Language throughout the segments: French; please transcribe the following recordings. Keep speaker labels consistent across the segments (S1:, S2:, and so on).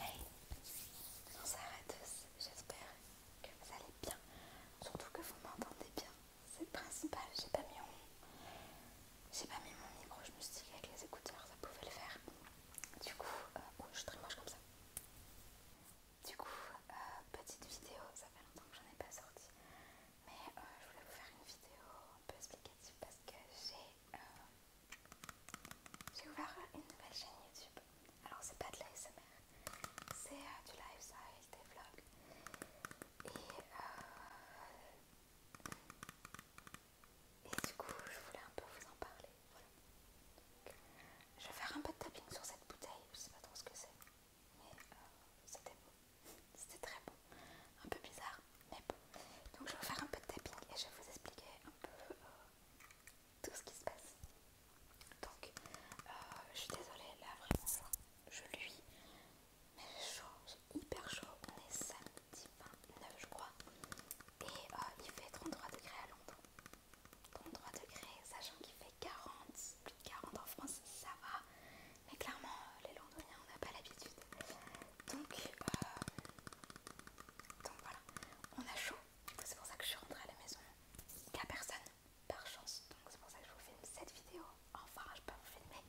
S1: Hey, bonsoir à tous, j'espère que vous allez bien, surtout que vous m'entendez bien, c'est le principal, j'ai pas mis mon... pas mis mon micro, je me suis dit les écouteurs ça pouvait le faire, du coup, euh, oh, je suis très moche comme ça, du coup, euh, petite vidéo, ça fait longtemps que j'en ai pas sorti, mais euh, je voulais vous faire une vidéo un peu explicative parce que j'ai euh, j'ai ouvert une nouvelle chaîne YouTube. Alors, c'est pas de l'ASMR, c'est du euh, du lifestyle, des vlogs. Euh, et, du coup, je voulais un peu vous en parler. Je vais faire un peu de tapping sur cette bouteille, je sais pas trop ce que c'est, mais c'était beau c'était très bon, un peu bizarre, mais bon. Donc je vais vous faire un peu de tapping et je vais vous expliquer un peu euh, tout ce qui se passe. Donc euh, je suis désolée, là vraiment je lui, mais c'est chaud, c'est hyper chaud, on est samedi 29 je crois, et euh, il fait 33 degrés à Londres. 33 degrés, sachant qu'il fait 40, plus de 40 en France, ça va mais clairement euh, les londoniens on n'a pas l'habitude donc, euh, donc voilà on a chaud c'est pour ça que je suis rentrée à la maison il n'y a personne par chance donc c'est pour ça que je vous filme cette vidéo enfin je peux vous filmer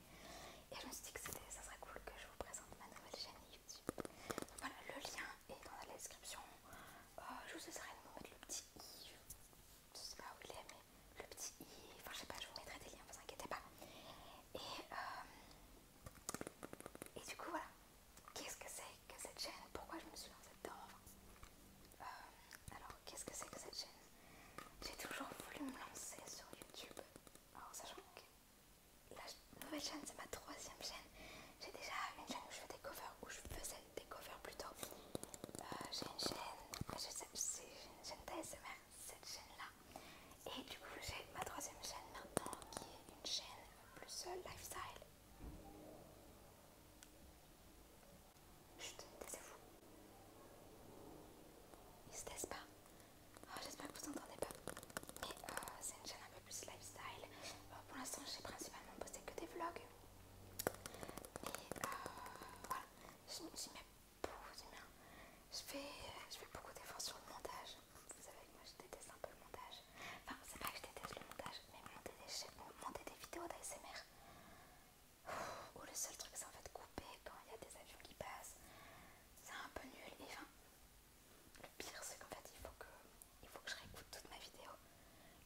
S1: et je me suis dit que ça serait cool que je vous présente ma nouvelle chaîne YouTube donc voilà le lien est dans la description euh, je vous laisserai de vous mettre le petit i je sais pas où il est mais le petit i enfin je sais pas je vous mettrai des liens ne vous inquiétez pas et, euh, et du coup, voilà. Qu'est-ce que c'est que cette chaîne Pourquoi je me suis lancée dedans euh, Alors, qu'est-ce que c'est que cette chaîne J'ai toujours voulu me lancer sur YouTube. Alors, sachant que la nouvelle chaîne, c'est ma troisième chaîne. J'ai déjà une chaîne où je fais des covers, où je faisais des covers plutôt. Euh, j'ai une chaîne, je sais, une chaîne d'ASMR cette chaîne-là. Et du coup, j'ai ma troisième chaîne maintenant qui est une chaîne plus lifestyle. Chut, taisez-vous. Ils se taisent pas. Oh, j'espère que vous entendez pas. Mais euh, c'est une chaîne un peu plus lifestyle. pour l'instant, j'ai principalement posté que des vlogs. Mais euh, voilà, je, je beaucoup du bien. Je fais, beaucoup d'efforts sur le montage. Vous savez que moi je déteste un peu le montage. Enfin, c'est pas que je déteste le montage, mais monter des, vidéos d'ASMR. Ou le seul truc c'est en fait couper quand il y a des avions qui passent. C'est un peu nul. Et enfin, le pire c'est qu'en fait il faut que, je réécoute toute ma vidéo.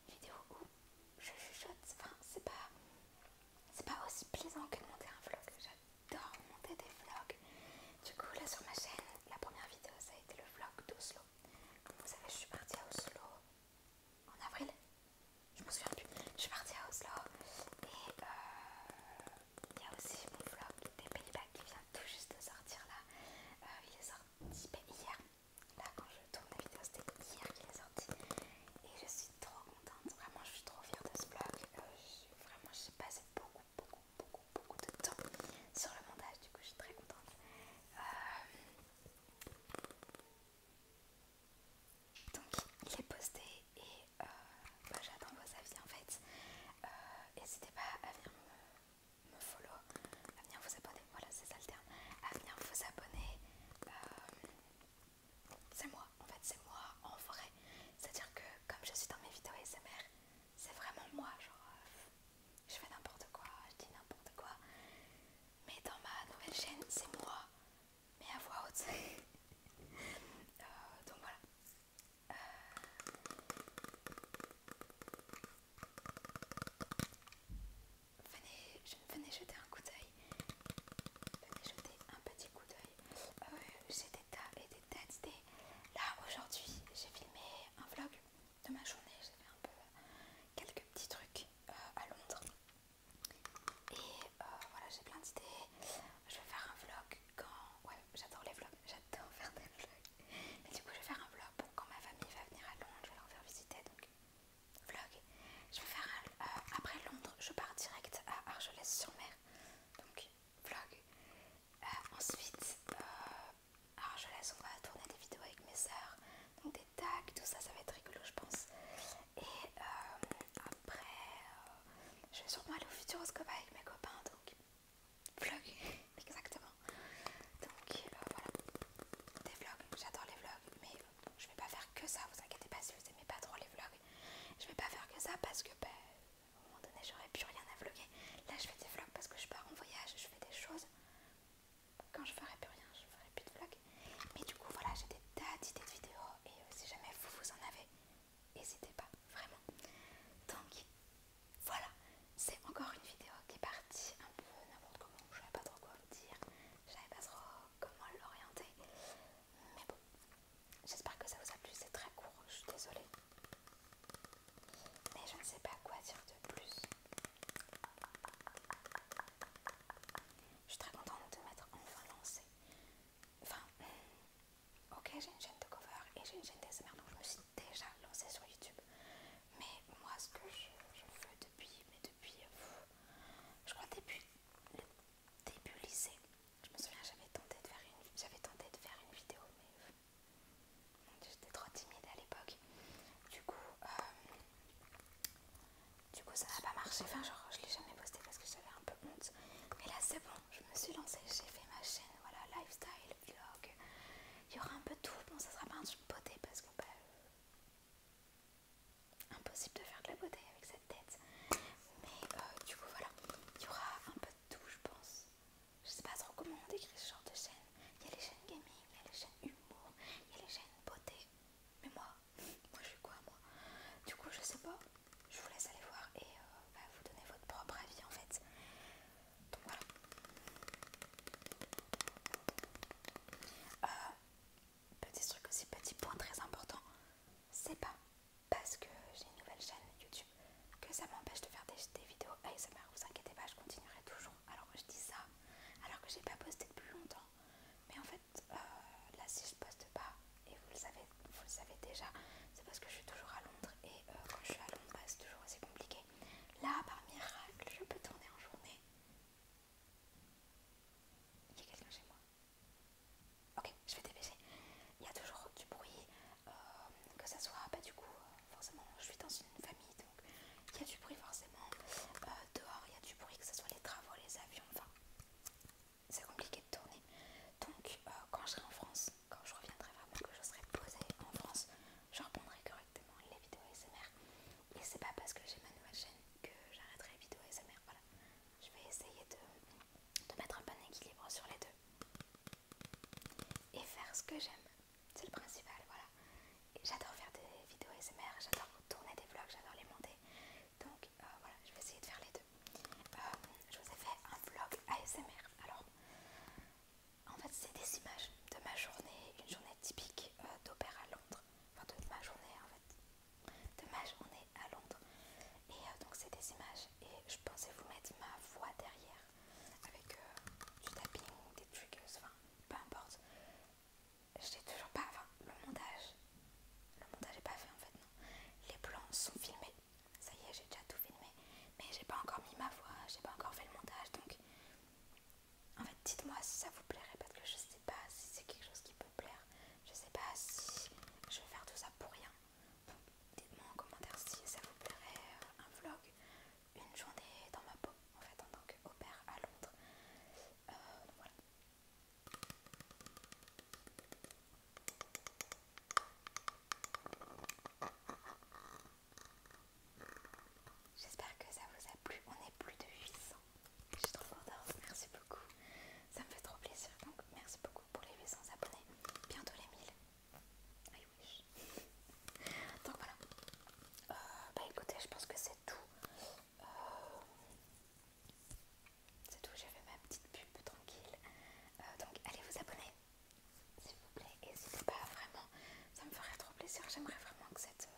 S1: vidéo où je chuchote. Enfin, c'est pas, pas aussi plaisant que de monter un vlog. déjà j'adore monter des vlogs. Du coup, là sur ma chaîne, la première vidéo ça a été le vlog d'Oslo. vous savez, je suis partie à Oslo en avril. Je m'en souviens plus. Je suis partie à Oslo et euh, il y a aussi mon vlog des Pays-Bas qui vient tout juste de sortir là. Euh, il est sorti ben, hier. Là, quand je tourne la vidéo, c'était hier qu'il est sorti. Et je suis suis trop contente, vraiment je suis trop fière de ce blog. Euh, vraiment j'ai passé beaucoup, beaucoup, beaucoup, beaucoup de temps sur le montage, du coup je suis très contente. Euh, donc il est posté et euh, bah, j'attends vos avis en fait. N'hésitez pas à venir me, follow, à venir vous abonner, voilà c'est ça le terme, à venir vous abonner c'est moi, en fait c'est moi en vrai. C'est-à-dire que comme je suis dans mes vidéos ASMR, c'est vraiment moi, genre euh, je fais n'importe quoi, je dis n'importe quoi. Mais dans ma nouvelle chaîne, c'est moi, mais à voix haute. Euh, donc voilà. Euh, venez, je, venez jeter un coup d'œil Venez jeter un petit coup d'œil. Euh, j'ai des tas et des tas d'idées. Là aujourd'hui, j'ai filmé un vlog de ma journée. J'ai fait un peu quelques petits trucs euh, à Londres. Et euh, voilà, j'ai plein d'idées. Je vais faire un vlog quand. Ouais, j'adore les vlogs. J'adore faire des vlogs. Mais du coup, je vais faire un vlog quand ma famille va venir à Londres. Je vais leur faire visiter. Donc, vlog. Je vais faire euh, après Londres, je pars direct à Argelès-sur-Mer. Donc vlog. Euh, ensuite, euh, à Argelès, on va tourner des vidéos avec mes sœurs, Donc des tags, tout ça, ça va être rigolo, je pense. Et après, je vais sûrement aller au Futuroscope avec mes copains. Donc vlog, exactement. Donc voilà, des vlogs, j'adore les vlogs, mais je vais pas faire que ça, vous inquiétez pas si vous aimez pas trop les vlogs. Je vais pas faire que ça parce que ben, au moment donné j'aurais plus rien à vlogger. Là je fais des vlogs parce que je pars en voyage, je fais des choses. Quand je ferai plus rien, je ferai plus de vlogs. Mais du coup voilà, j'ai des tas d'idées de vidéos et euh, si jamais vous vous en avez, n'hésitez pas, vraiment. Donc voilà, c'est encore une vidéo qui est partie un peu n'importe comment, je savais pas trop quoi vous dire, je savais pas trop comment l'orienter. Mais bon, j'espère que ça vous a plu. C'est très court, je suis désolée. Mais je ne sais pas quoi dire de plus. Je suis très contente de mettre enfin lancée. Enfin, ok, j'ai une chaîne de cover et j'ai une chaîne d'SMR, donc je me suis déjà lancée sur YouTube. Mais moi, ce que je, je veux depuis, mais depuis, je crois début le début lycée. Je me souviens, j'avais tenté de faire une, j'avais tenté de faire une vidéo, mais j'étais trop timide à l'époque. Du coup, euh, du coup, ça n'a pas marché. Enfin, genre, je l'ai jamais posté parce que j'avais un peu honte. Mais là, c'est bon. Je me suis lancée. J'ai fait ma chaîne, voilà, lifestyle, vlog. Il y aura un peu tout. Bon, ça sera pas un truc beauté parce que bah, impossible de faire de la beauté avec cette tête. Mais euh, du coup, voilà, il y aura un peu de tout, je pense. Je sais pas trop comment on décrit ce genre de chaîne. Il y a les chaînes gaming, il y a les chaînes humour, il y a les chaînes beauté. Mais moi, moi je suis quoi, moi Du coup, je sais pas. Je vous laisse aller voir et euh, bah, vous donner votre propre avis en fait. Donc voilà. Euh, petit truc aussi, petit point très important, c'est pas parce que j'ai une nouvelle chaîne YouTube que ça m'empêche de faire des, des vidéos ASMR, vous inquiétez pas, je continuerai toujours. Alors que je dis ça, alors que j'ai pas posté depuis longtemps, mais en fait, euh, là si je poste pas, et vous le savez, vous le savez déjà, c'est parce que je suis toujours à Londres, et euh, quand je suis à Londres, bah, c'est toujours assez compliqué. Là, par miracle, je peux tourner en journée, il y a quelqu'un chez moi. Ok, je vais dépêcher. Il y a toujours du bruit, euh, que ce soit, pas bah, du coup, euh, forcément, je suis dans une famille, donc il y a du bruit forcément. Euh, dehors, il y a du bruit, que ce soit les travaux, les avions, enfin, c'est compliqué de tourner. Donc, quand je serai en France, quand je reviendrai vraiment, que je serai posée en France, je reprendrai correctement les vidéos SMR. Et c'est pas parce que j'ai ma nouvelle chaîne que j'arrêterai les vidéos ASMR. Voilà, je vais essayer de, mettre un bon équilibre sur les deux et faire ce que j'aime. C'est le principal, voilà. J'adore faire des vidéos ASMR, j'adore tourner des vlogs, j'adore les monter. Donc euh, voilà, je vais essayer de faire les deux. Euh, je vous ai fait un vlog ASMR. Alors, en fait, c'est des images de ma journée, une journée typique euh, d'opéra à Londres enfin de ma journée en fait, dommage on est à Londres. Et euh, donc c'est des images et je pensais vous mettre ma voix derrière avec euh, du tapping, des triggers, enfin peu importe. J'ai toujours pas, enfin le montage, le montage est pas fait en fait non. Les plans sont filmés, ça y est j'ai déjà tout filmé, mais j'ai pas encore mis ma voix, j'ai pas encore fait le montage donc en fait, dites-moi si ça vous plairait parce que je sais pas si c'est quelque chose qui peut plaire. Je sais pas si je vais faire tout ça pour rien. Dites-moi en commentaire si ça vous plairait euh, un vlog, une journée dans ma peau en fait en tant qu'opère à Londres. Euh, voilà. J'espère que ça vous a plu. On est plus de 800. Je suis trop Merci beaucoup. Ça me fait trop plaisir. Donc, merci beaucoup pour les 800 abonnés. Bientôt les 1000. I wish. Donc voilà. Euh, bah écoutez, je pense que c'est tout. Euh, c'est tout. J'ai fait ma petite pub tranquille. Euh, donc, allez vous abonner. S'il vous plaît, et n'hésitez pas vraiment, ça me ferait trop plaisir. J'aimerais vraiment que cette